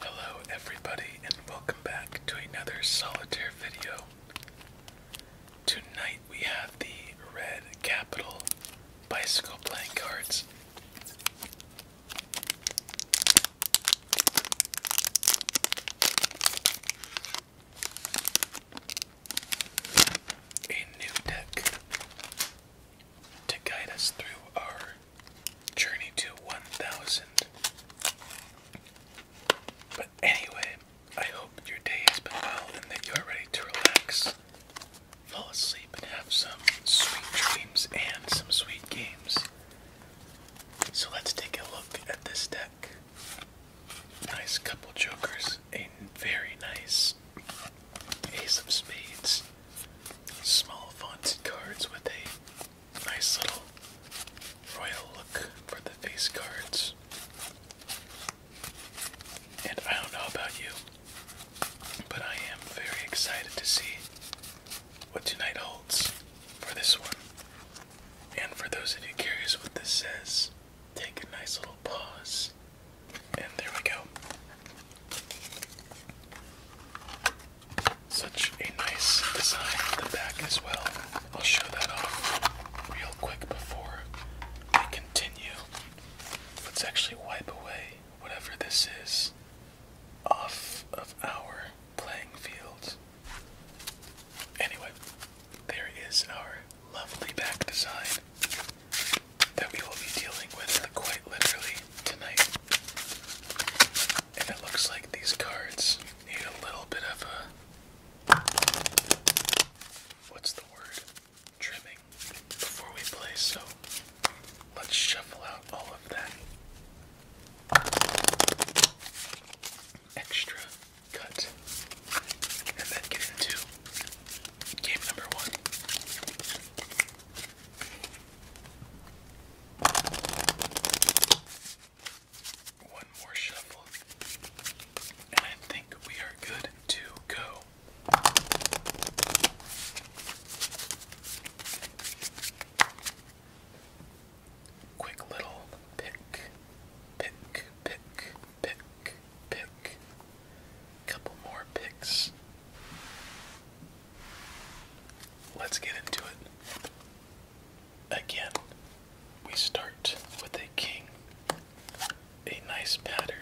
Hello, everybody, and welcome back to another solitaire video. Tonight we have the Red Capital Bicycle Playing Cards. A new deck to guide us through our journey to 1000. But anyway, I hope your day has been well and that you are ready to relax, fall asleep, and have some sweet dreams and some sweet games. So let's take a look at this deck. Nice couple jokers, a very nice ace of spades, small fonted cards with a nice little royal look for the face cards. And I don't know about you, but I am very excited to see what tonight holds for this one. And for those of you curious what this says, take a nice little pause and there we go. Such a nice design on the back as well. I'll show that off real quick before we continue. Let's actually wipe away whatever this is off of our playing field. Anyway, there is our lovely back design that we will be dealing with quite literally tonight. And it looks like these cards need a little bit of a. What's the word? Trimming before we play, so let's shuffle out all of that extra cut and then get into game number one. One more shuffle, and I think we are good to go. Quick little pick, pick, pick, pick, pick, back. Couple more picks. Let's get into it. Again, we start with a king. A nice pattern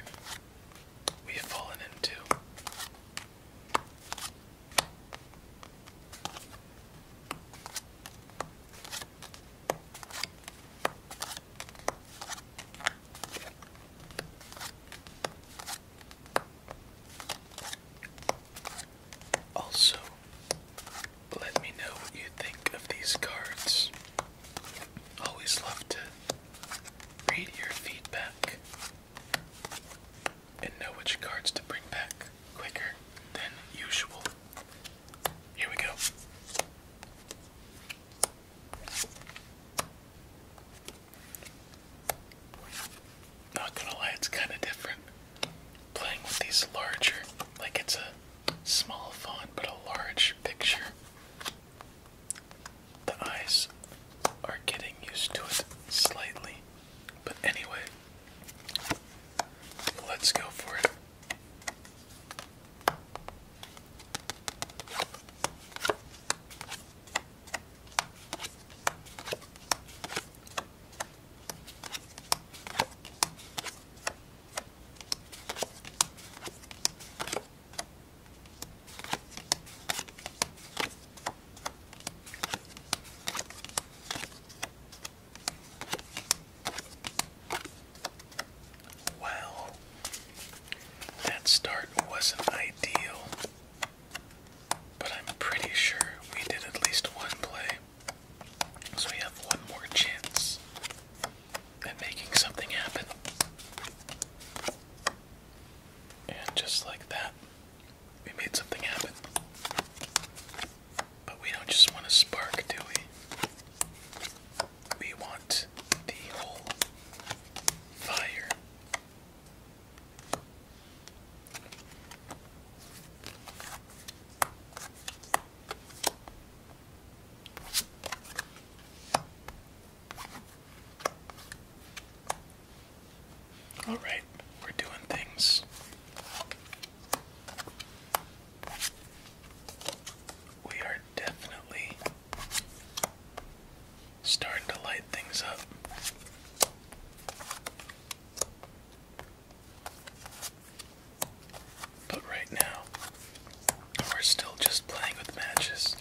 we have fallen into. Also, let me know what you think of these cards. Always love to read your feedback and know which cards to bring back quicker than usual. Here we go. Not gonna lie, it's kind of different playing with these larger, like it's a small font but a large picture. The eyes are getting used to it slightly, but anyway, let's go for it. Well, that start wasn't ideal. But I'm pretty sure we did at least one play. So we have one more chance at making something happen. And just like that, we made something happen. But we don't just want a spark, do we? We want the whole fire. All right, we're doing things. We are definitely Starting to light things up. But right now, we're still just playing with matches.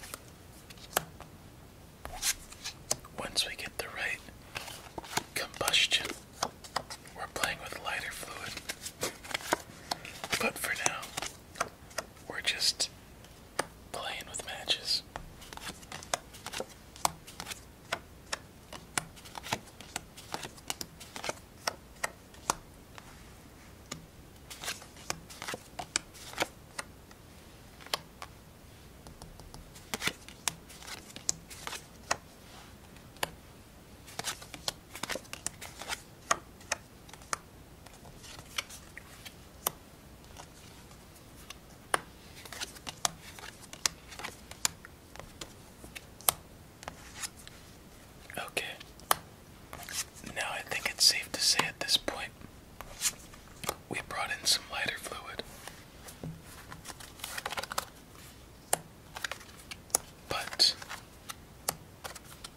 Once we get the right combustion, we're playing with lighter fluid. But for now, we're just playing with matches. Okay. Now I think it's safe to say at this point we brought in some lighter fluid. But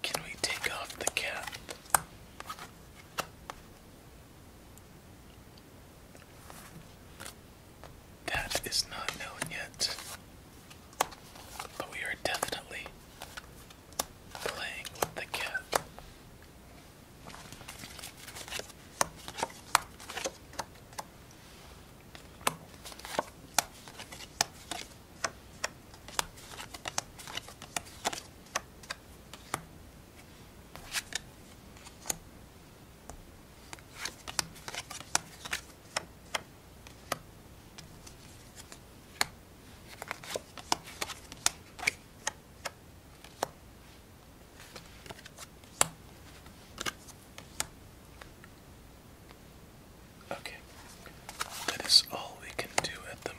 can we take off the cap? That is not known yet, but we are definitely playing with the cat. Okay, that is all we can do at the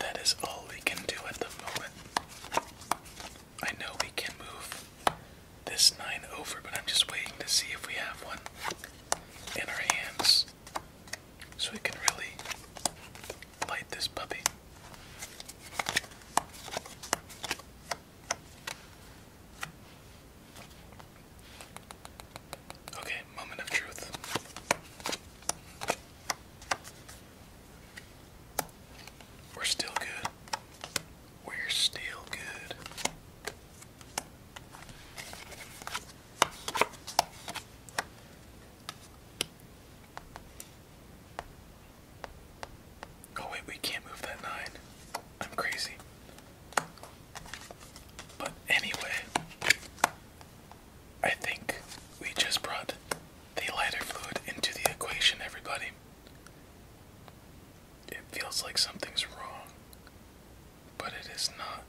that is all we can do at the moment. I know we can move this 9 over, but I'm just waiting to see if we have one in our hands so we can really light this puppy. Okay, moment of truth. We're still good. We're still good. Oh wait, we can't move that nine. I'm crazy. But anyway, I think we just brought the lighter fluid into the equation, everybody. It feels like something's wrong, but it is not.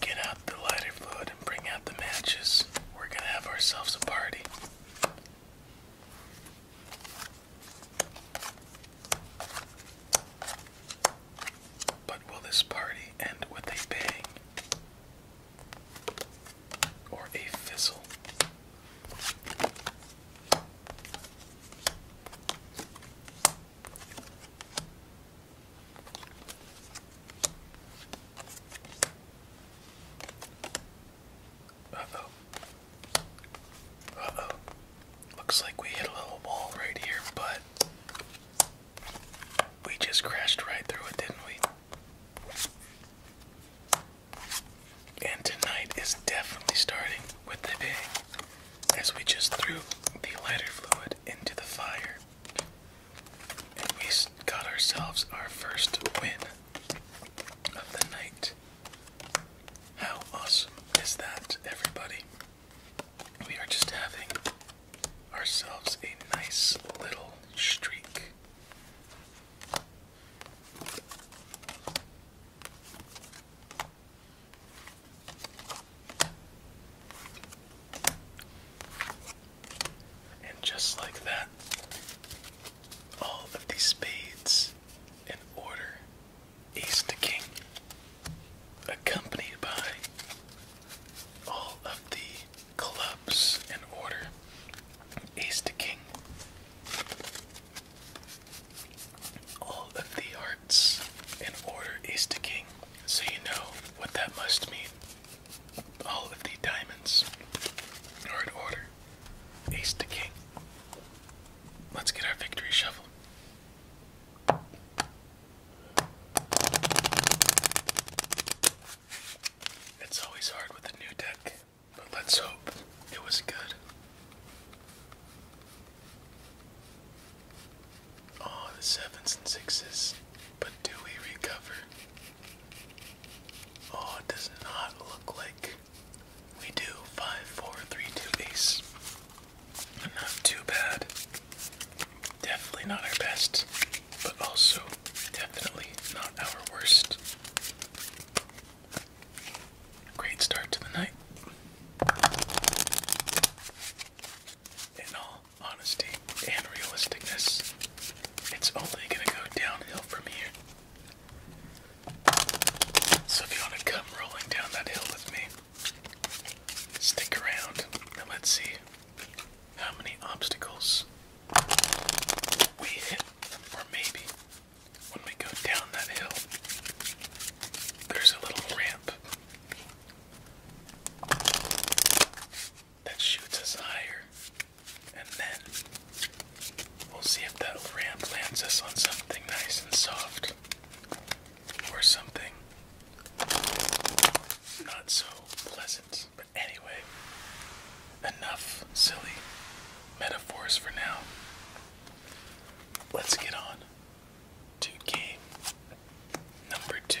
Get out the lighter fluid and bring out the matches. We're gonna have ourselves a party. But will this party end with a bang? Or a fizzle? Uh oh. Uh oh. Looks like we hit a little wall right here, but we just crashed right through it, didn't we? And tonight is definitely starting with the bang as we just threw the lighter fluid into the fire. And we got ourselves our first win of the night. How awesome is that, everybody? we are just having ourselves a nice little streak. And just like that, all of the spades in order ace to king accompanied by all of the clubs in order ace to king, all of the hearts in order ace to king, so you know what that must mean. All of the diamonds are in order ace to king. Let's get our victory shovel. It's always hard with a new deck, but let's hope it was good. Oh, the sevens and sixes, but do we recover? Oh, it does not look like we do. Five, four, three, two, ace. Not too bad. Definitely not our best, but also definitely not our worst. Great start to the night. In all honesty and realisticness, it's only going to go downhill from here. So if you want to come rolling down that hill with me, Stick around and let's see how many obstacles we hit, or maybe when we go down that hill, there's a little ramp that shoots us higher, and then we'll see if that ramp lands us on something nice and soft or something not so pleasant. But anyway, enough silly metaphors for now. Let's get on to game number two.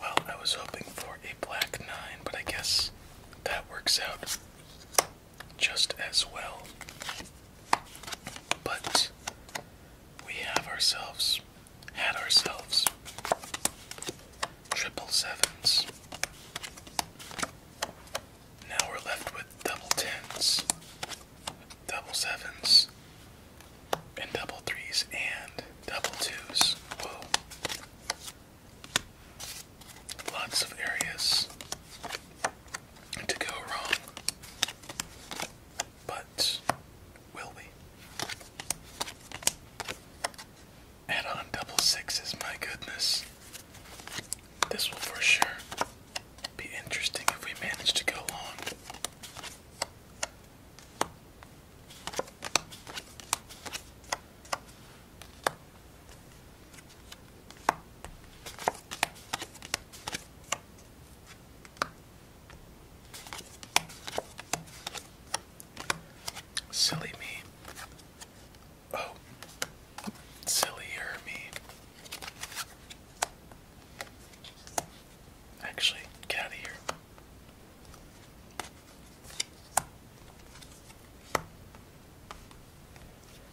Well, I was hoping for a black nine, but I guess that works out just as well. But we have ourselves, had ourselves triple sevens. Now we're left with double tens, double sevens, and double threes and double twos. Lots of areas to go wrong. But will we? Add on double sixes, my goodness. This will for sure be interesting if we manage to go long. Silly me. Oh, sillier me. Actually, get out of here.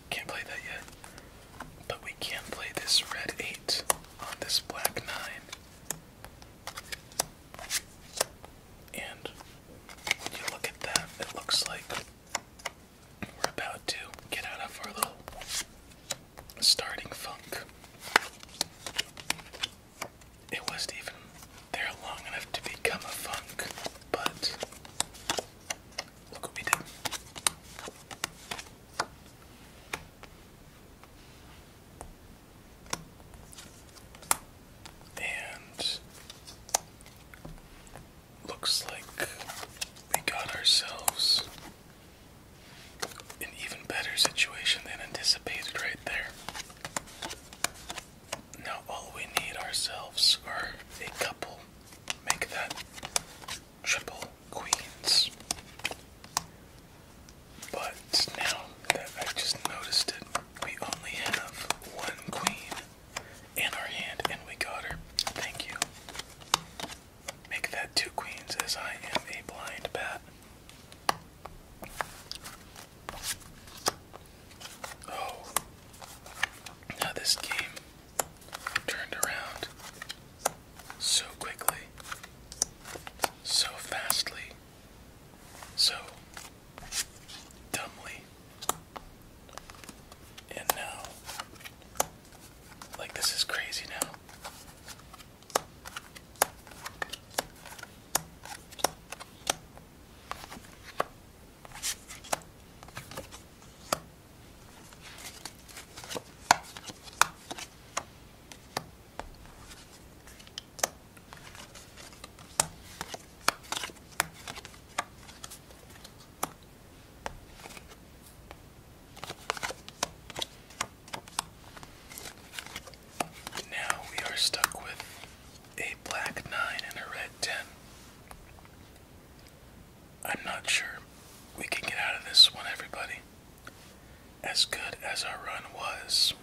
Can't play that yet. But we can play this red 8 on this black 9. And you look at that, it looks like we're about to get out of our little starting funk. It wasn't even there long enough to become a funk, but look what we did. And looks like we got ourselves an even better situation than anticipated right there. Now all we need ourselves are a couple. Make that triple queens. But now that I just noticed it, we only have one queen in our hand, and we got her. Thank you. Make that two queens, as I am a blind bat. Oh, now this game turned around so quickly, so fastly, so dumbly. And now, like, this is crazy now. Now we are stuck with a black 9 and a red 10. I'm not sure we can get out of this one, everybody. As good as our run was,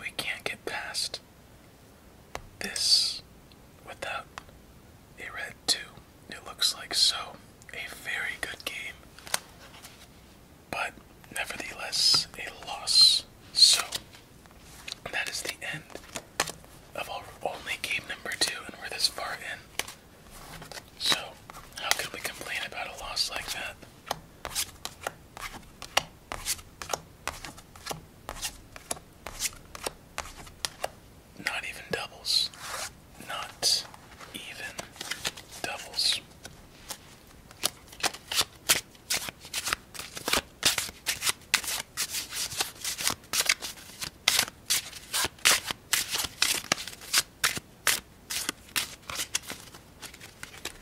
we can't get past this, without a red 2, it looks like so. A very good game, but nevertheless a loss. So, that is the end of all, only game number 2, and we're this far in. So, how could we complain about a loss like that? Not even doubles. Not even doubles.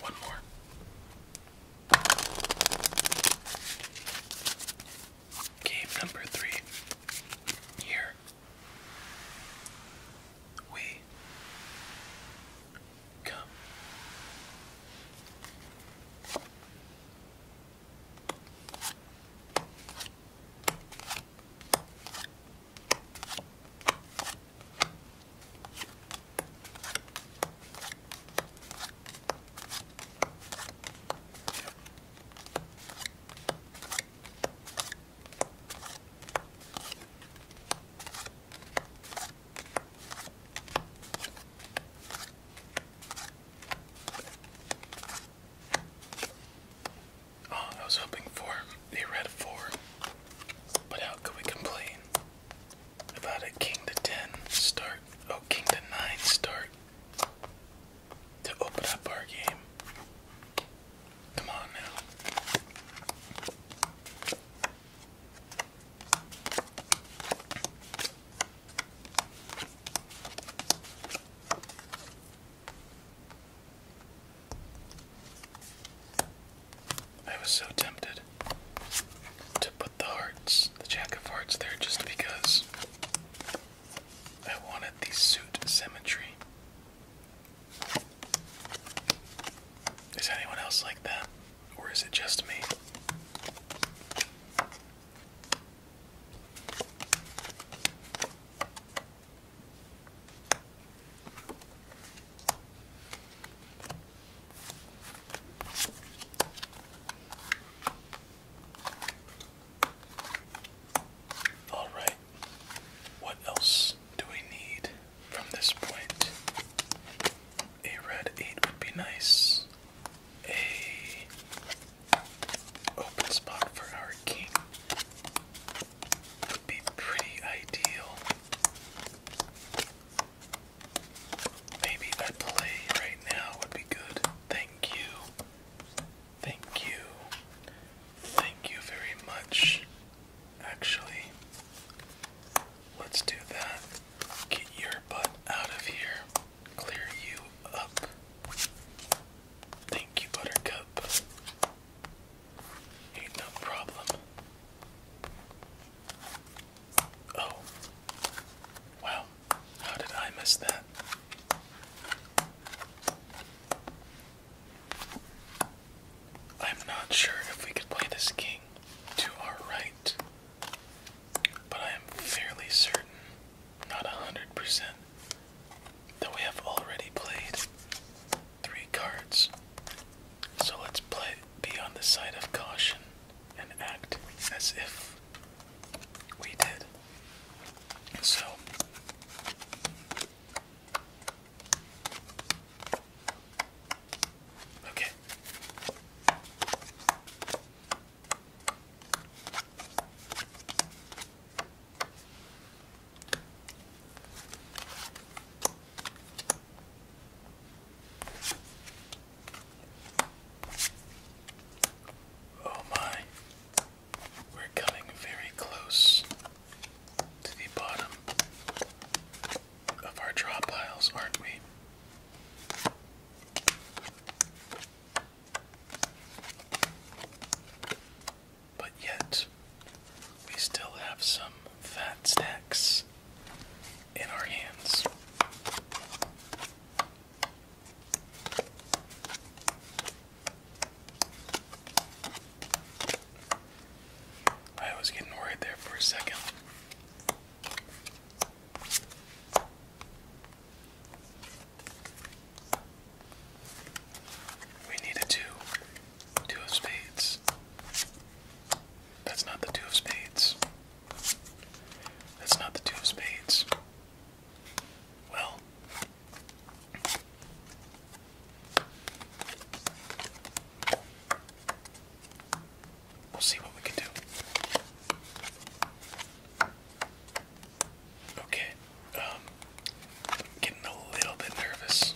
One more. Game number three. Here we come. Oh, I was hoping for the red four, but how could we complain? About a king to ten start. Oh, king to nine start. To open up our game. Come on now. I was so tempted to put the hearts, the jack of hearts, there just because I wanted the suit symmetry. Is anyone else like that? Or is it just me? All right. What else do we need from this point? A red 8 would be nice. A open spot for our king would be pretty ideal. Maybe a play right now would be good. Thank you. Thank you. Thank you very much. Actually, let's do that. Get your butt out of here. Clear you up. Thank you, Buttercup. Ain't no problem. Oh. Wow. How did I miss that? I'm not sure if we could play this king to our right, but I am fairly certain, not a hundred percent, that we have already played three cards. So let's play be on the side of caution and act as if we did. So Okay. Oh, my, we're coming very close to the bottom of our draw piles, aren't we? But yet, we still have some fat stacks in our hands. I was getting worried there for a second. We need two, two of spades. That's not the two of spades. That's not the two of spades. Well, we'll see what we can do. Okay, um, getting a little bit nervous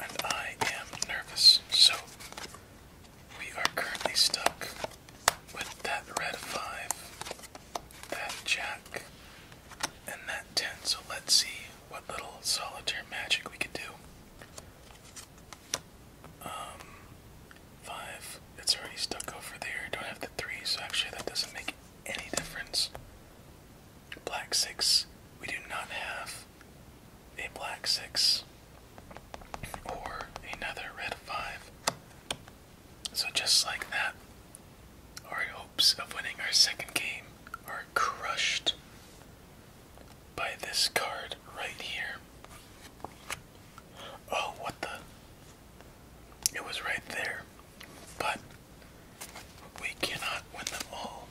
and I am nervous. So we are currently stuck with that red five, that jack, and that ten. So let's see what little solitaire magic we can do. Um, five. It's already stuck over there. Don't have the three, so actually that doesn't make any difference. Black six. We do not have a black six or another red five. So just like that, our hopes of winning our second game are crushed by this card right here. Oh, what the? It was right there. But we cannot win them all.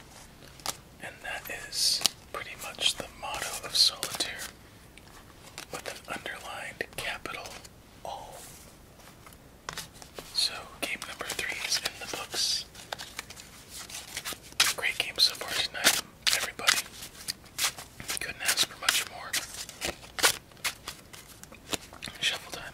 And that is pretty much the motto of solitaire with an underlined capital all. So, game number three is in the books. Great game so far tonight, everybody. Couldn't ask for much more. Shuffle time.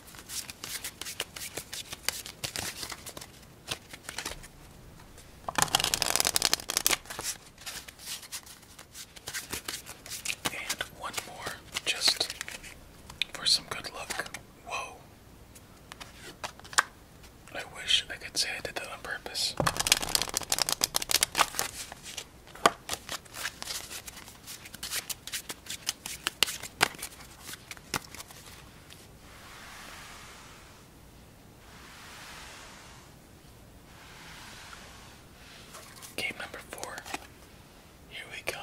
And one more, just for some good luck. Whoa. I wish I could say I did that on purpose. Game number four. Here we come.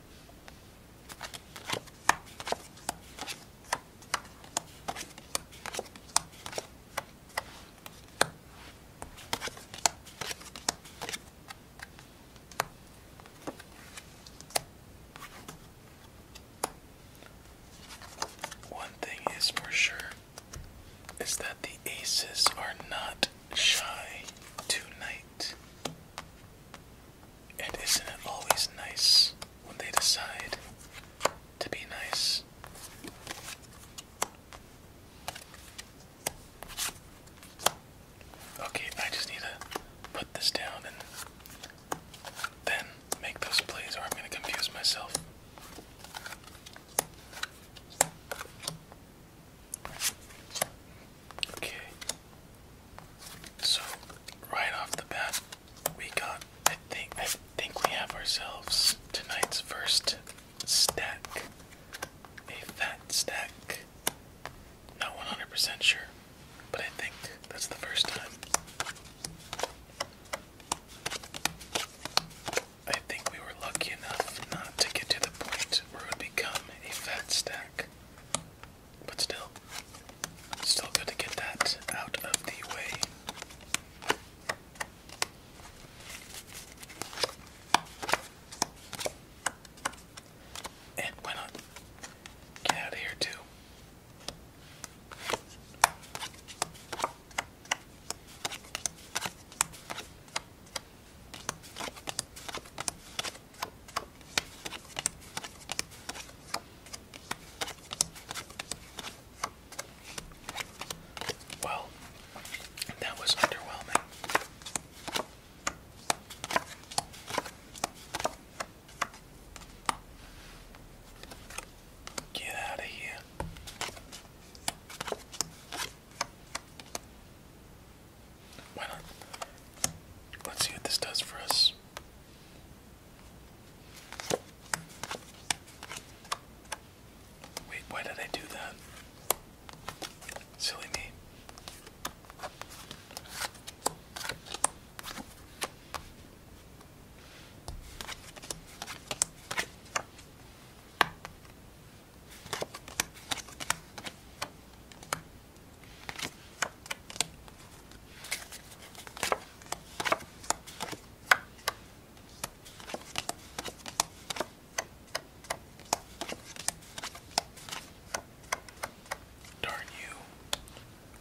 One thing is for sure is that the aces are not shy tonight. And isn't it always nice when they decide to be nice? Okay, I just need to put this down and then make those plays, or I'm going to confuse myself. Okay. So right off the bat, we got I think I think we have ourselves tonight's first stack. A fat stack. Not 100% sure, but I think that's the first time. I think we were lucky enough not to get to the point where it would become a fat stack. But still, still good to get that out of the way. And why not get out of here too? Well, that was underwhelming. Get out of here. Why not? Let's see what this does for us. Wait, why did I do that? Silly me. Darn you.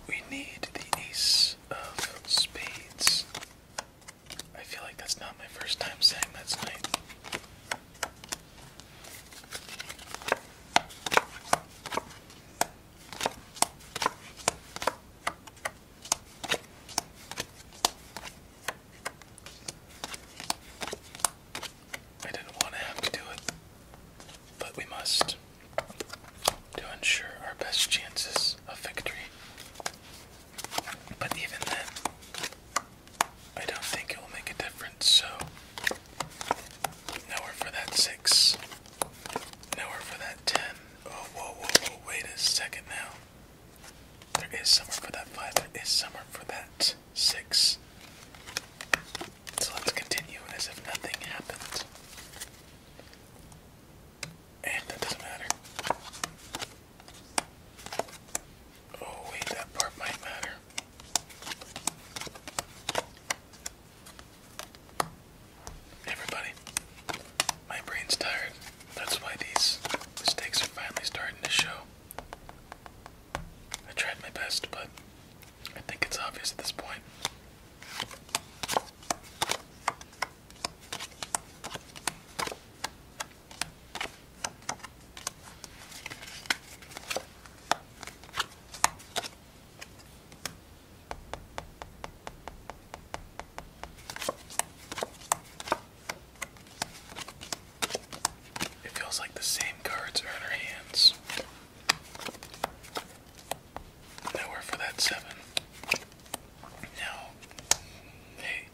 We need the ace of spades. I feel like that's not my first time saying that's nice. I didn't want to have to do it, but we must to ensure our best chances of victory. But even then, I don't think it will make a difference, so nowhere for that six. Nowhere for that ten. Oh whoa whoa whoa wait a second now. There is somewhere for that five, there is somewhere for that six. So let's continue as if nothing happened. And that doesn't matter. Oh wait, that part might matter. Everybody, my brain's tired. That's why these mistakes are finally starting to show. I tried my best, but I think it's obvious at this point. It feels like the same cards are in our hands. Nowhere for that seven. Now, hey,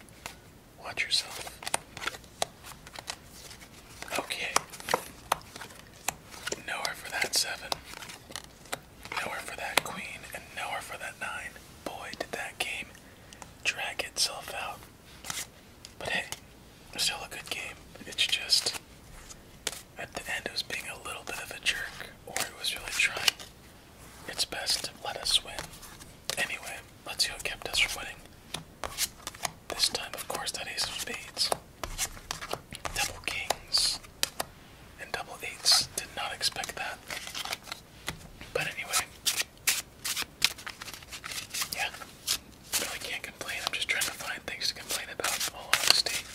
watch yourself. Okay. Nowhere for that seven. Nowhere for that queen, and nowhere for that nine. Boy, did that game drag itself out. But hey, still a good game. It's just at the end it was being a little bit of a jerk, or it was really trying its best to let us win. Anyway, let's see what kept us from winning. This time, of course, that ace of spades. Double kings and double eights. Did not expect that. But anyway. Yeah. Really can't complain. I'm just trying to find things to complain about, all honesty.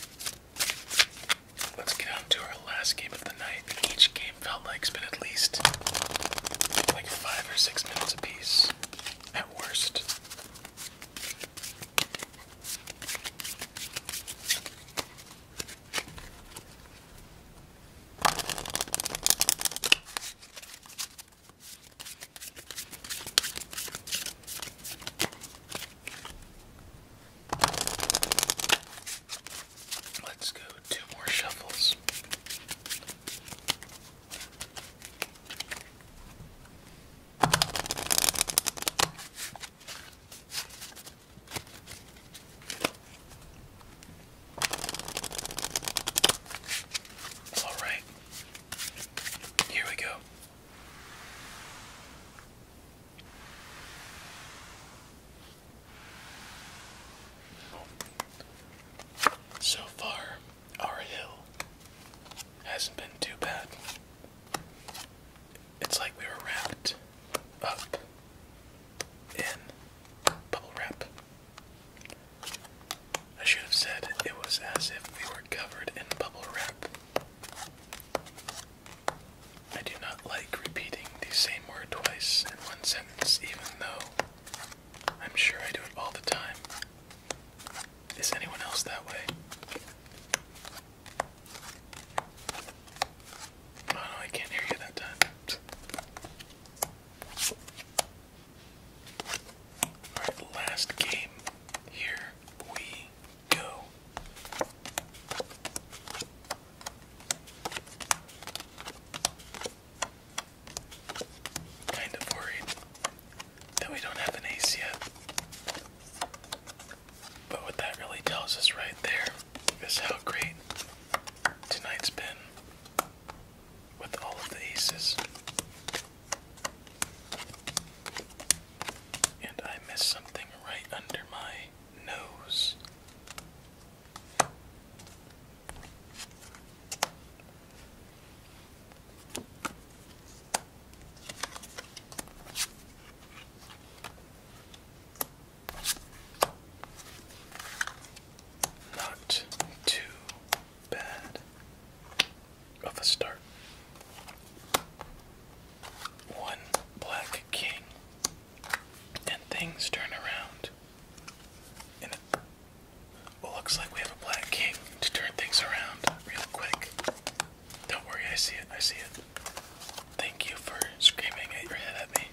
Let's get on to our last game of the night. Each game felt like it's been at least like five or six minutes apiece. At worst. Let's go two more shuffles. All right, here we go. So far, our hill hasn't been too bad. It's like we were wrapped up in bubble wrap. I should have said it was as if we were covered in bubble wrap. I do not like repeating the same word twice in one sentence, even though I'm sure I do it all the time. Is anyone else that way? Oh, I can't hear you that time. Alright, last game. Here we go. Kind of worried that we don't have an ace yet. But what that really tells us right there is how great tonight's been with all of the aces. And I missed something right under my nose. Not too bad of a start. One black king, and things turn around well, looks like we have a black king to turn things around real quick. Don't worry, I see it, I see it. Thank you for screaming at your head at me.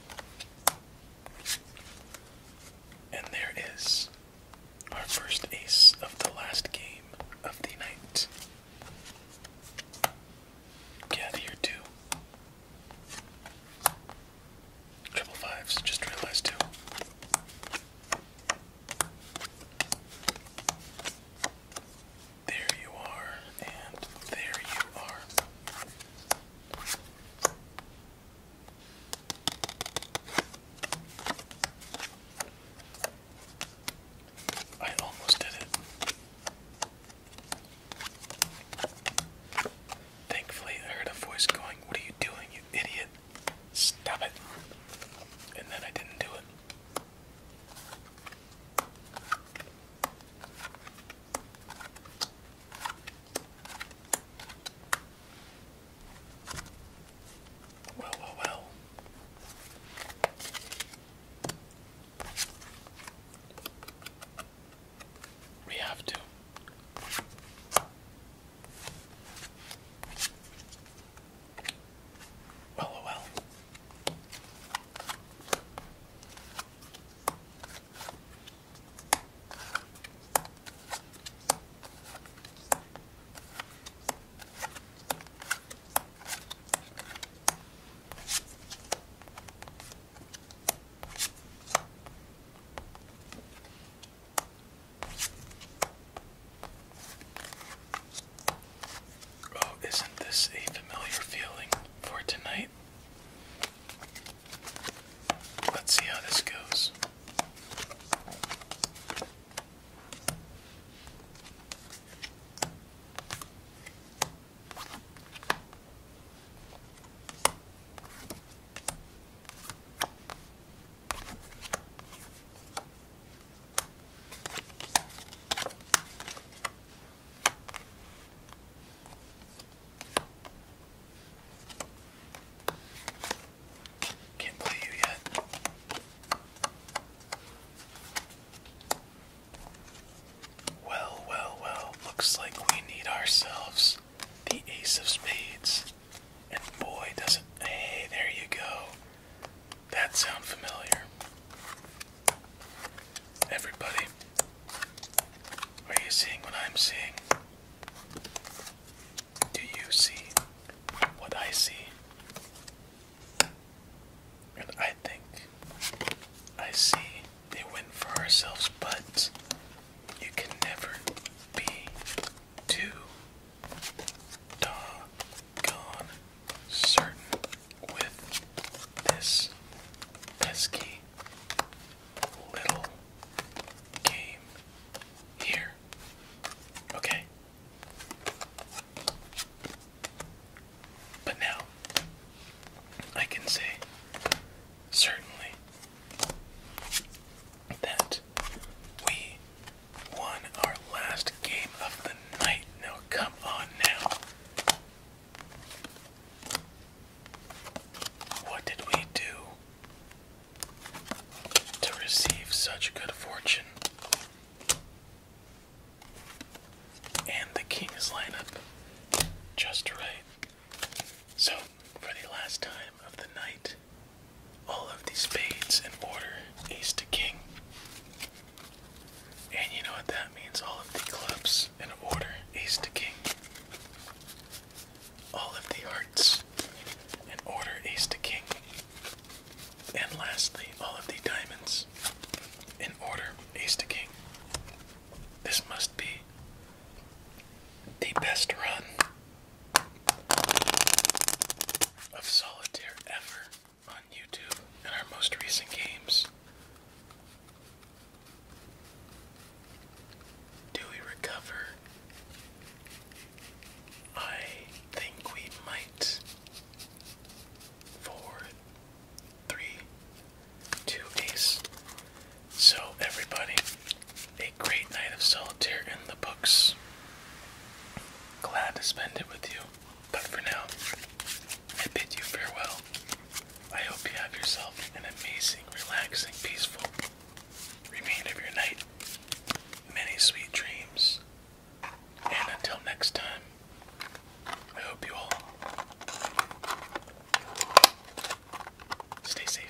And there is our first ace of the last game of the night. Get here too. Triple fives, just realized too. There you are, and there you are. I almost did it. Thankfully, I heard a voice going, What are you doing, you idiot? Stop it. And then I didn't do it. Well, well, well. We have to. LOL. Oh, isn't this a familiar feeling for tonight? Let's see how this goes. Can't play you yet. Well, well, well, looks like we need ourselves the Ace of Spades. And boy, doesn't. Hey, there you go. That sound familiar. Everybody, are you seeing what I'm seeing? Do you see what I see? And I think I see they win for ourselves, but you can never be too doggone certain with this pesky little game here. Okay. But now I can say certainly that we won our last game of the night. Now, come on now. What did we do to receive such good fortune? And the king's lineup just right. So, for the last time of the night, all of these spades in order, ace to king. And you know what that means? All of the clubs in order, ace to king. All of the hearts in order, ace to king. And lastly, all of the diamonds in order, ace to king. This must be the best run of solitaire ever on YouTube in our most recent games. Do we recover? I think we might. Four, three, two, ace. So, everybody, a great night of solitaire in the books glad to spend it with you. But for now, I bid you farewell. I hope you have yourself an amazing, relaxing, peaceful remain of your night. Many sweet dreams. And until next time, I hope you all stay safe